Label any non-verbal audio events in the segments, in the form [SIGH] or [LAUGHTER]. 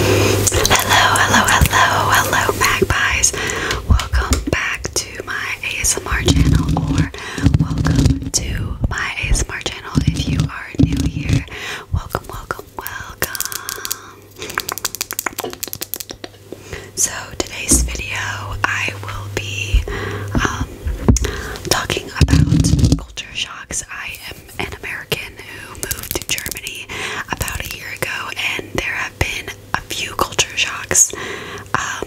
Hello, hello, hello, hello, magpies. Welcome back to my ASMR channel, or welcome to my ASMR channel if you are new here. Welcome, welcome, welcome. So, today's video, I will be um, talking about culture shocks. I am an American who moved to Germany about a year ago, and there have been a few culture shocks um,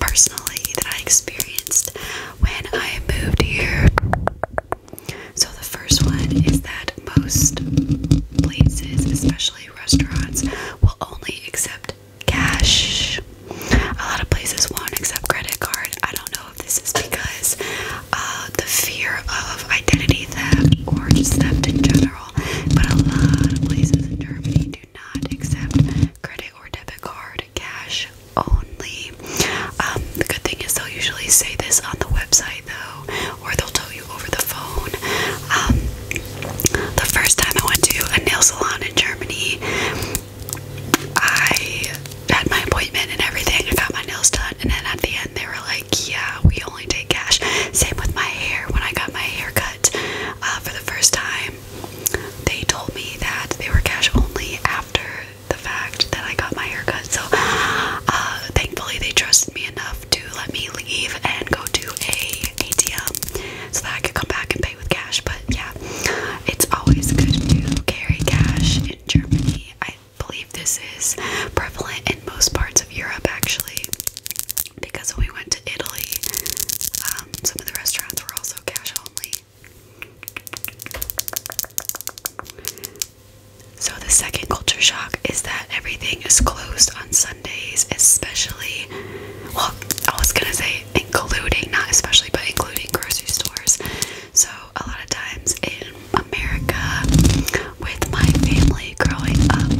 personally that I experienced when I moved here. So, the first one is that most places, especially restaurants, will only accept cash. A lot of places won't accept credit card. I don't know this is because uh, the fear of identity theft or just theft in general. But a lot of places in Germany do not accept credit or debit card, cash only. Um, the good thing is they'll usually say this on the website though, or they'll tell you over the phone. Um, the first time I went to a nail salon in Germany, I had my appointment and everything. I got my nails done, and then at the end, they were like, like, yeah, we only take cash. Same with my hair. When I got my hair cut uh, for the first time, they told me that they were cash only after the fact that I got my hair cut. So uh, thankfully, they trusted me enough to let me leave and go to a ATM so that I could come back and pay with cash. But yeah, it's always good to carry cash in Germany. I believe this is prevalent in most parts of Europe actually. Because when we went to Italy, um, some of the restaurants were also cash only. So, the second culture shock is that everything is closed on Sundays, especially, well, I was gonna say including, not especially, but including grocery stores. So, a lot of times in America, with my family growing up,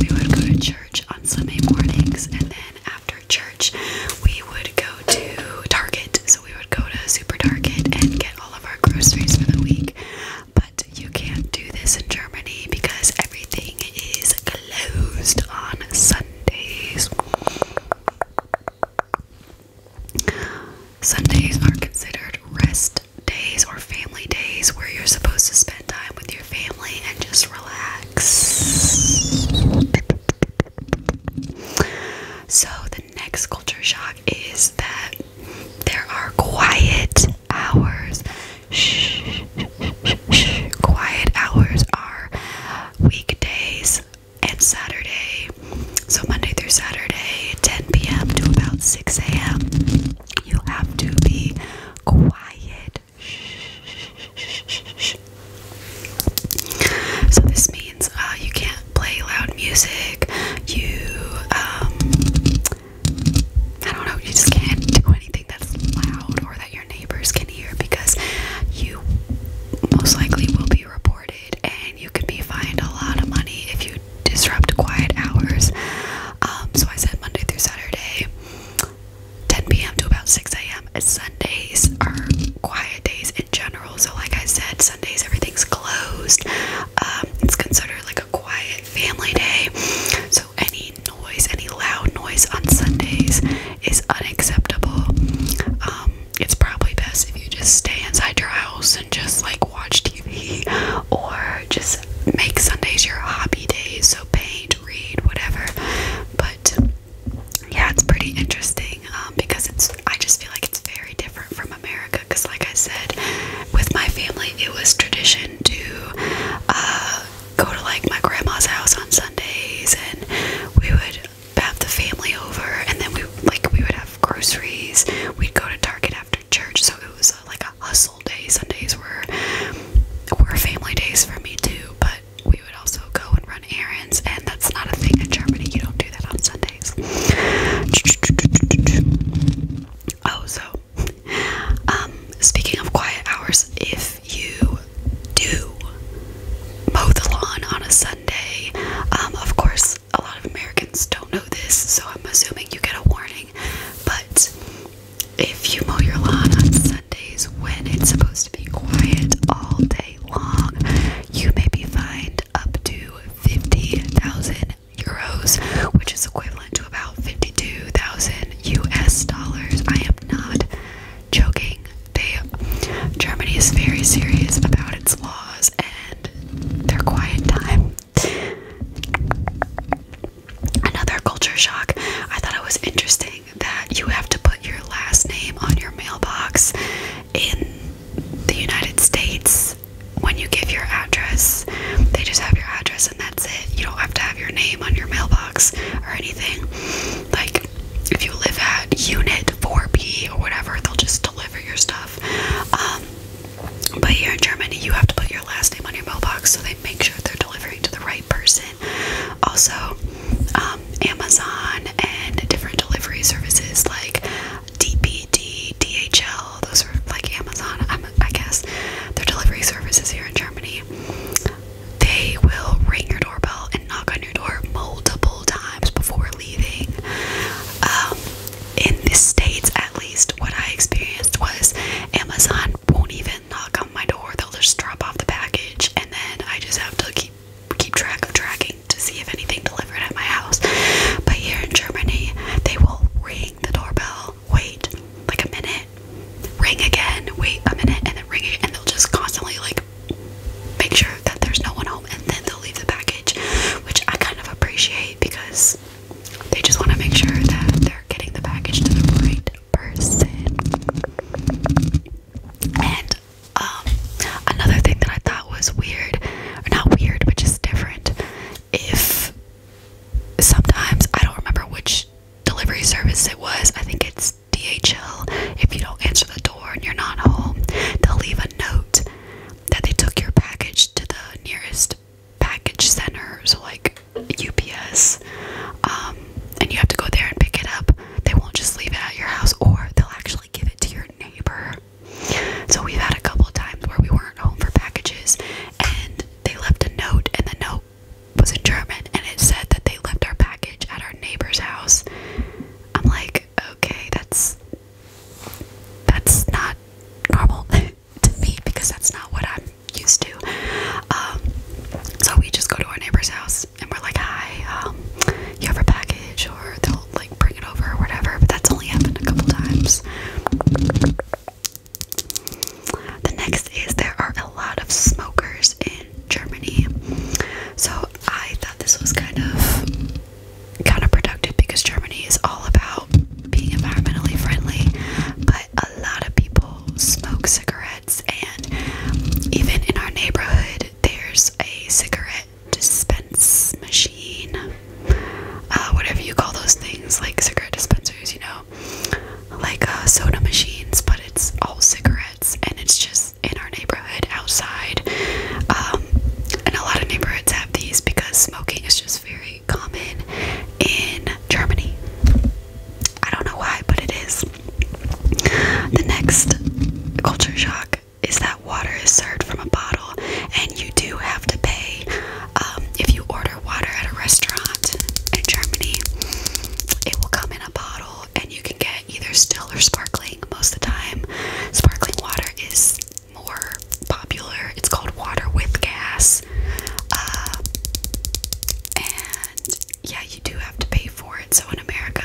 we would go to church on Sunday mornings, and then after church, we would go to Target. So, we would go to Super Target and get all of our groceries for the week. But you can't do this in Germany because everything is closed on Sundays. Sundays are considered rest days or family days where you're supposed to spend time with your family and just relax. So, the next culture shock is that there are quiet hours. Shh, shh, shh, shh. Quiet hours are weekdays and Saturday. So Monday through Saturday, 10 p.m. to about 6 a.m. You have to be quiet. So this means uh, you can't play loud music. You, um, I don't know, you just can't do anything that's loud or that your neighbors can hear because you most likely will be reported and you could be fined a lot of money if you disrupt quiet hours. Um, so I said Monday through Saturday, 10 p.m. to about 6 a.m. Sundays are quiet days in general. So, like I said, Sundays everything's closed. Um, it's considered like a quiet family day. So, any noise, any loud noise on Sundays is unacceptable. Um, it's probably best if you just stay inside your house and just like watch TV or just make Sundays your hobby days. So paint, read, whatever. But yeah, it's pretty interesting um, because it's. I just feel like it's very different from America because, like I said, with my family, it was tradition to uh, go to like my grandma's house on Sundays, and we would have the family over, and then we like we would have groceries. We'd go to Target after church, so it was uh, like a hustle day. Sundays were were family days for me too, but we would also go and run errands, and that's not a thing in Germany. You don't do that on Sundays. Oh, so um, speaking of quiet hours, if you do mow the lawn on a Sunday, um, of course a lot of Americans don't know this, so I'm assuming you get a warning. But if you mow your lawn on Sundays when it's supposed to be quiet all day long, you may be fined up to 50,000 euros, which is equivalent to about 52,000 US dollars. I am not joking. Germany is very serious about its laws, and their quiet time. Another culture shock. I thought it was interesting that you have to put your last name on your mailbox in the United States when you give your address. They just have your address and that's it. You don't have to have your name on your mailbox or anything. Like, if you live at Unit 4B or whatever, they'll just deliver your stuff. Um, but here in Germany, you have to put your last name on your mailbox so they make sure they're delivering to the right person. Also, um, Amazon and different delivery services like DPD, DHL, those are like Amazon, I guess, their delivery services here in Germany. They will ring your doorbell and knock on your door multiple times before leaving. Um, in the States, at least, what I experienced was Amazon won't even knock on my door, they'll just drop off the package, and then I just have to keep keep track of tracking to see if anything delivered at my house. But here in Germany, they will ring the doorbell, wait like a minute, ring again, wait a minute, and then ring it, and they'll just constantly like make sure that there's no one home and then they'll leave the package, which I kind of appreciate because they just want to make sure that they're getting the package to the right person. And um, another thing that I thought was weird, or not weird, but just different, if sometimes I don't remember which delivery service it was, I think it's DHL. If you don't answer the door, store and you're not home, they'll leave a note that they took your package to the nearest package center, so like UPS, um, and you have to go there and pick it up. They won't just leave it at your house, or they'll actually give it to your neighbor. So we've had a couple of times where we weren't home for packages, and they left a note, and the note was in German, and it said that they left our package at our neighbor's house. I'm like, okay, that's that's not normal [LAUGHS] to me because that's not what I'm used to. Um, so we just go to our neighbor's house and we're like, hi, um, you have a package, or they'll like bring it over or whatever. But that's only happened a couple times. The next is there are a lot of smokers in Germany. So I thought this was kind of kind of productive because Germany is all about being environmentally friendly, but a lot of people smoke cigarettes, and even in our neighborhood, there's a cigarette dispense machine, uh, whatever you call those things, like cigarette dispensers, you know, like uh, soda machines, but it's all cigarettes, and it's just in our neighborhood outside. Um, and a lot of neighborhoods have these because smoking is just very common in Germany. I don't know why, but it is. The next culture shock is that water is served from a bottle, and you do have to pay um, if you order water at a restaurant in Germany. It will come in a bottle, and you can get either still or sparkling most of the time. Sparkling water is more popular. It's called water with gas. Uh, and yeah, you do have to pay for it. So in America,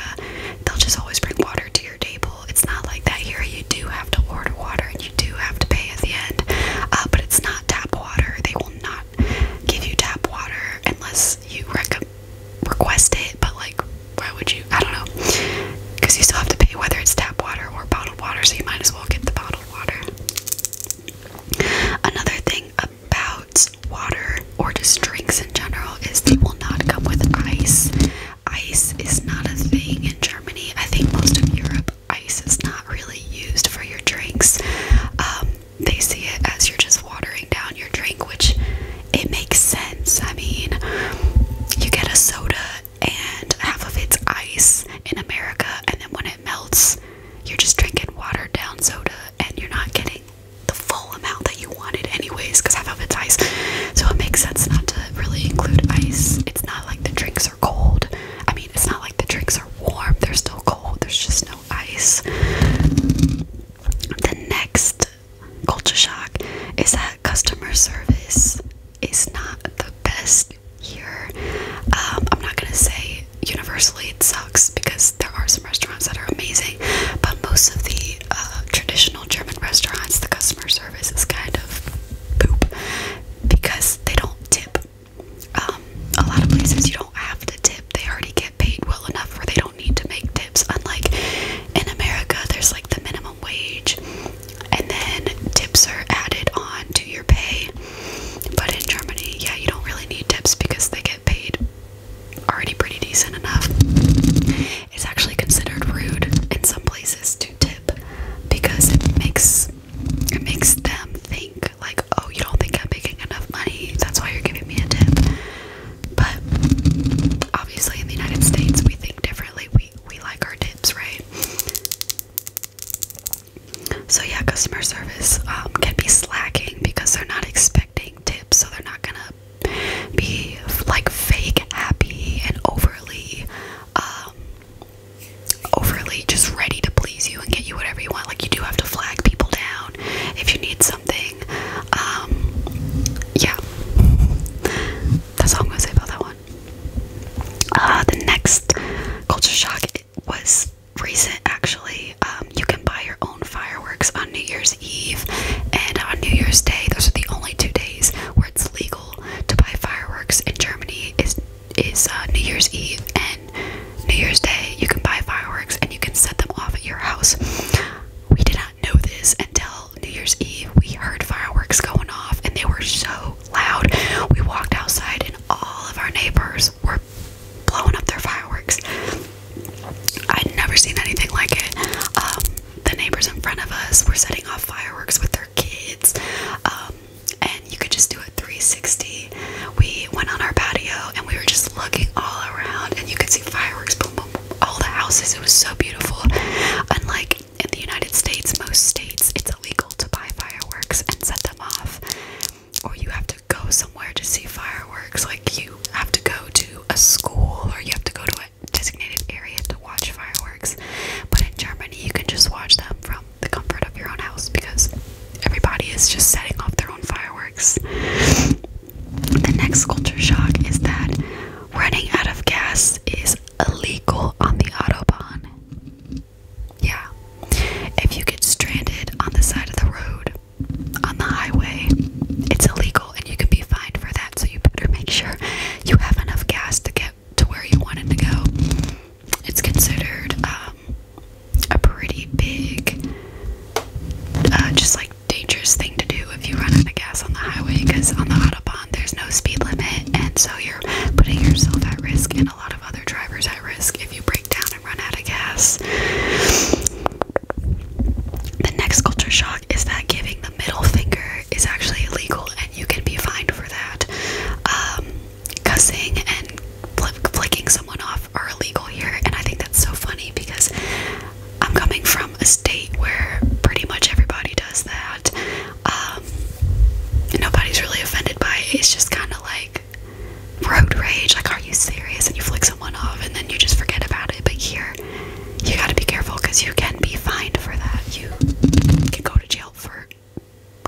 they'll just always bring water to your table. It's not like that here. You do have to order water and you do have to pay at the end. Uh, but it's not tap water. They will not give you tap water unless you recommend request it, but like, why would you? I don't know. Because you still have to pay whether it's tap water or bottled water, so you might as well get the bottled water. Another thing about water or just drinks in general is they will not come with ice. Ice is not a thing in Germany. I think most of Europe, ice is not really used for your drinks. Um, they see it as you're just watering down your drink, which it makes sense. I mean, you get a soda and half of it's ice in America, and then when it melts, you're just drinking watered down soda and you're not getting the full amount that you wanted, anyways, because half of it's ice. So it makes sense not to really include ice. It's not like the drinks are cold. I mean, it's not like the drinks are warm, they're still cold, there's just no ice. The next culture shock is that customer service is not the best here. Um, I'm not gonna say universally it sucks because there are some restaurants that are amazing, but most of the uh, traditional German restaurants, the customer service is kind of poop because they don't tip. Um, a lot of places you don't have to tip, they already get paid well enough where they don't need to make tips. Unlike in America, there's like the minimum wage, and then tips are added on to your pay. But in Germany, yeah, you don't really need tips because they get paid already pretty decent enough. It's actually considered rude in some places to tip because it makes it makes them think like, oh, you don't think I'm making enough money, that's why you're giving me a tip. But obviously, in the United States, we think differently. We we like our tips, right? So yeah, customer service um, can be slacking because they're not expecting tips, so they're not gonna be like fake happy and overly, um, overly just ready to please you and get you whatever you want. Like you do have to flag people down if you need some. Um, yeah, that's all I'm gonna say about that one. Uh, the next culture shock was recent, actually. Um, you can buy your own fireworks on New Year's Eve and on New Year's Day. Those are the only two days where it's legal to buy fireworks in Germany. Is is uh, New Year's Eve and New Year's Day. You can buy fireworks and you can set them off at your house. We did not know this until New Year's Eve. We heard fireworks going off and they were so loud. We walked outside and all of our neighbors were blowing up their fireworks. I'd never seen anything like it. Um, the neighbors in front of us were setting off fireworks with their kids. Um, and you could just do a 360. We went on our patio and we were just looking all around and you could see fireworks boom, boom all the houses it was so beautiful unlike in the united states most states it's illegal to buy fireworks and set them off or you have to go somewhere to see fireworks like you have to go to a school or you have to go to a designated area to watch fireworks but in germany you can just watch them from the comfort of your own house because everybody is just setting off their own fireworks the next culture shock is that running out of gas is illegal on the Autobahn. Yeah. If you get stranded on the side of the road, on the highway, it's illegal and you can be fined for that, so you better make sure you have enough gas to get to where you wanted to go. It's considered um, a pretty big, uh, just like dangerous thing to do if you run out of gas on the highway because on the Autobahn there's no speed limit, and so you're putting yourself at risk and a lot of other drivers at risk if you break down and run out of gas. The next culture shock is that giving the middle finger is actually illegal and you can be fined for that. Um, cussing and flicking someone off stuff are illegal here, and I think that's so funny because I'm coming from a state where pretty much everybody does that. Um, nobody's really offended by it. It's just kind of like road rage. Like, are you serious? And you flick someone off, and then you just forget about it. But here, you gotta be careful because you can be fined for that. You can go to jail for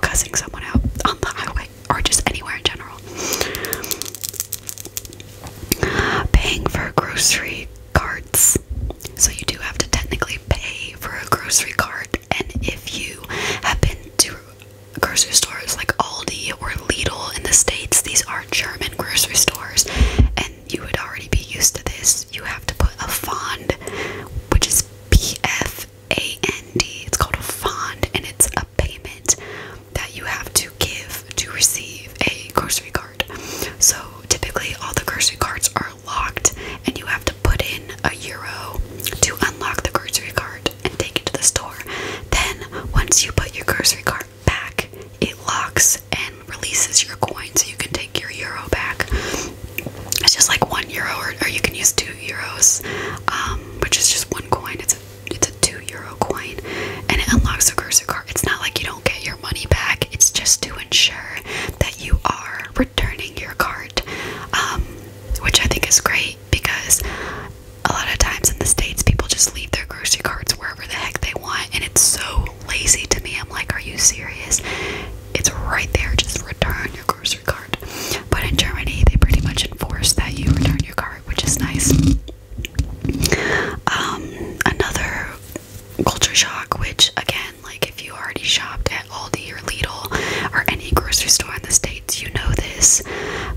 cussing someone out on the highway or just anywhere in general. Paying for grocery carts. So you do have to technically pay for a grocery cart and if you have been to grocery stores like Aldi or Lidl in the States, these are German grocery stores and you would already be used to this. You have to put a fond, which is P F A N D. It's called a fond and it's a payment that you have to give to receive a grocery card. So typically, all the grocery cards are locked, and you have to put in a euro to unlock the grocery card and take it to the store. Then, once you put your grocery card back, it locks and releases your coin so you can take your euro back. It's just like one euro, or, you can use two euros, um, which is just one coin. It's it's a two euro coin and it unlocks your cursor card. It's not like you don't get your money back, it's just to ensure that you are returning your cart, um, which I think is great because a lot of times in the States people just leave their grocery carts wherever the heck they want and it's so lazy to me. I'm like, are you serious? It's right there, just return your grocery cart. But in Germany they pretty much enforce that you return your cart which is nice. Um, another culture shock, which again, like if you already shopped at Aldi or Lidl or any grocery store in the States, you know this,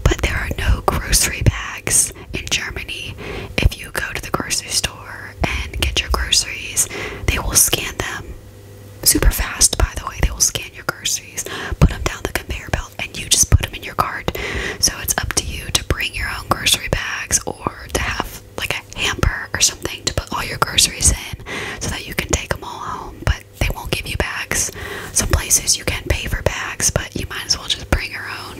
but there are no grocery bags in Germany. If you go to the grocery store and get your groceries, they will scan them super fast, by the way. They will scan your groceries, put them down the conveyor belt belt and you just put them in your cart. So it's up to you to bring your own grocery bags or to have like a hamper or something to put all your groceries in so that you can take them all home. But they won't give you bags. Some places you can pay for bags, but you might as well just bring your own.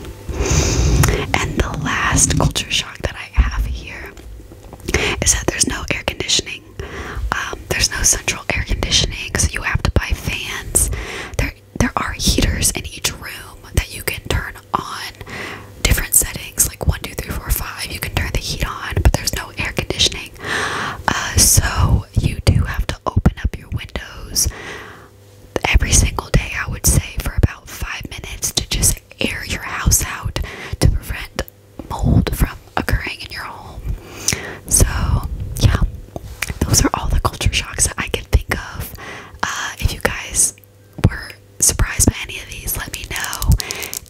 And the last culture shock that I have here is that there's no air conditioning. Um, there's no central air conditioning, so you have to buy fans. There there are heaters in each room that you can turn on different settings, like one, two, three, four, five. You can turn the heat on, but there's no air conditioning. Uh, so you do have to open up your windows every single day, I would say, for about five minutes to just air your house out to prevent mold from occurring in your home. So, yeah, those are all the culture shocks that I could think of. Uh, if you guys were surprised by any of these, let me know.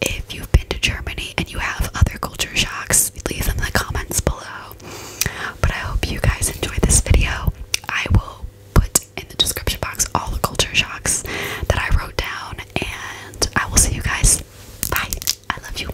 If you've been to Germany and you have other culture shocks, leave them in the comments below. But I hope you guys enjoyed this video. I will put in the description box all the culture shocks that I wrote down, and I will see you guys. Bye. I love you.